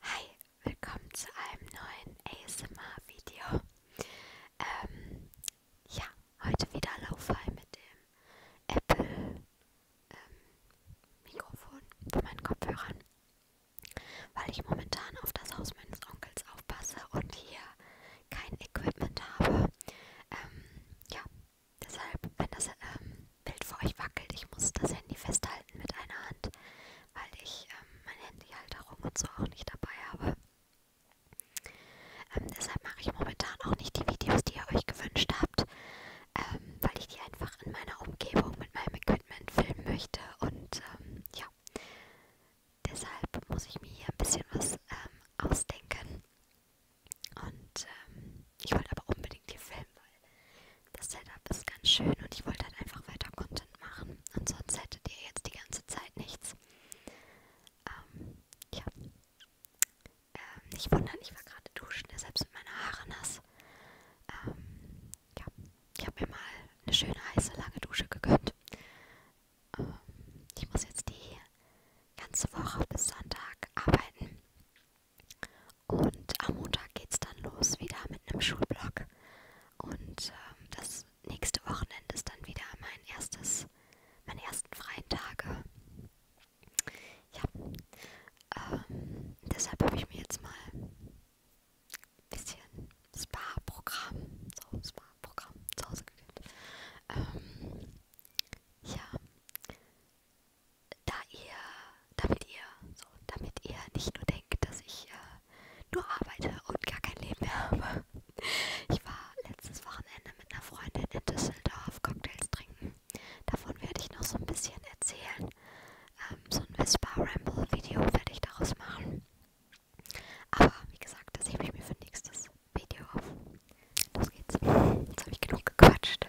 Hi, willkommen zu einem neuen ASMR-Video. Ähm, ja, heute wieder Laufei mit dem Apple-Mikrofon ähm, von meinen Kopfhörern, weil ich momentan auf das Haus meines Onkels aufpasse und hier kein Equipment habe. Ähm, ja, Deshalb, wenn das ähm, Bild vor euch wackelt, ich muss das Handy festhalten mit einer Hand, weil ich ähm, meine Handyhalterung und so auch nicht dabei habe. Ähm, deshalb mache ich momentan auch nicht die Videos, die ihr euch gewünscht habt, ähm, weil ich die einfach in meiner Umgebung mit meinem Equipment filmen möchte. Und ähm, ja, deshalb muss ich mir hier ein bisschen was ähm, ausdenken. Und ähm, ich wollte aber unbedingt hier filmen, weil das Setup ist ganz schön und ich wollte halt einfach weiter Content machen. Ansonsten hättet ihr jetzt die ganze Zeit nichts. Ähm, ja. Ähm, halt nicht wundern, ich war gerade duschen, deshalb sind meine Haare nass. Ähm, ja. Ich habe mir mal eine schöne heiße lange Dusche gegönnt. Ähm, ich muss jetzt die ganze Woche bis Sonntag arbeiten. Und am Montag geht's dann los wieder mit einem Schulblock. Und ähm, das nächste Wochenende ist dann wieder mein erstes, meine ersten freien Tage. Ja, ähm, deshalb habe ich mir jetzt mal ein bisschen Spa-Programm, so Spa-Programm zu Hause gegönnt. Ähm, ja, da ihr, damit ihr, so, damit ihr nicht nur denkt, dass ich äh, nur arbeite und gar kein Leben mehr habe. Ich war letztes Wochenende mit einer Freundin in Düsseldorf Cocktails trinken. Davon werde ich noch so ein bisschen erzählen. Ähm, so ein Whisper-Ramble-Video werde ich daraus machen. Aber wie gesagt, das hebe ich mir für nächstes Video auf. Los geht's. Jetzt habe ich genug gequatscht.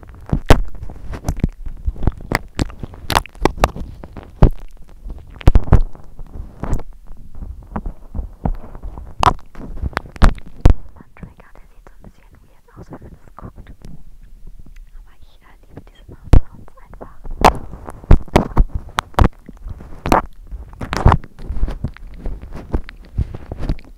Trigger, der sieht so ein bisschen weird aus, wenn man das guckt. Aber ich äh, liebe diese Mouth-Sounds einfach.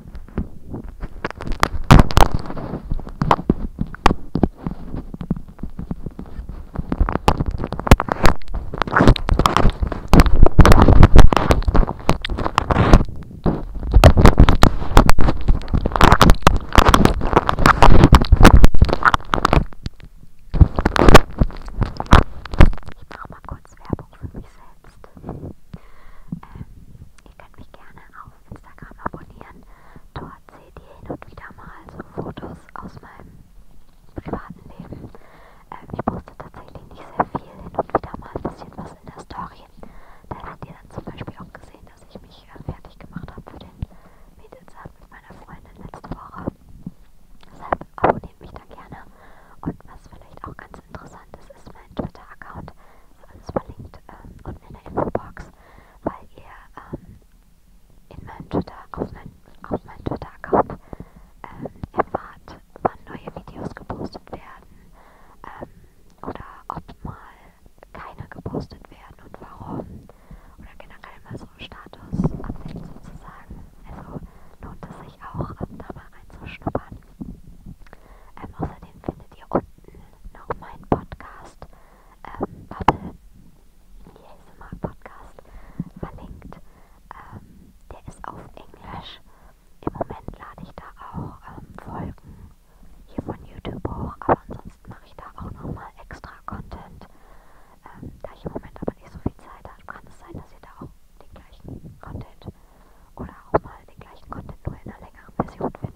Ich mache mal kurz Werbung für mich selbst. Ähm, ihr könnt mich gerne auf Instagram abonnieren. Dort seht ihr hin und wieder mal so Fotos aus meinem privaten Leben. Ähm, ich poste tatsächlich nicht sehr viel, hin und wieder mal ein bisschen was in der Story. Da habt ihr dann zum Beispiel auch gesehen, dass ich mich äh, fertig gemacht habe für den Mädelsabend mit meiner Freundin letzte Woche. Deshalb abonniert mich da gerne. Und was vielleicht auch ganz interessant ist, ist mein Twitter-Account. Ist alles verlinkt ähm, unten in der Infobox weil ihr ähm, in meinem Twitter, auf, mein, auf meinem Twitter-Account ähm, erfahrt, wann neue Videos gepostet werden ähm, oder ob mal keine gepostet werden und warum oder generell mal so Status-Update sozusagen. Also lohnt es sich auch, da mal reinzuschnuppern. Ähm, außerdem findet ihr unten noch meinen Podcast, ähm, Bubble, ASMR Podcast, verlinkt. Ähm, der ist auf Englisch. Im Moment lade ich da auch ähm, Folgen hier von YouTube hoch, aber ansonsten mache ich da auch nochmal extra Content. Ähm, da ich im Moment aber nicht so viel Zeit habe, kann es sein, dass ihr da auch den gleichen Content oder auch mal den gleichen Content nur in einer längeren Version findet.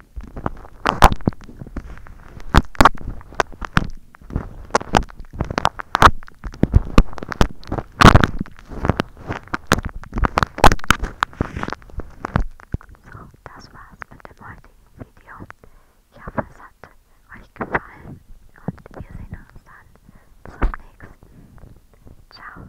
Das war's mit dem heutigen Video. Ich hoffe, es hat euch gefallen und wir sehen uns dann zum nächsten. Ciao.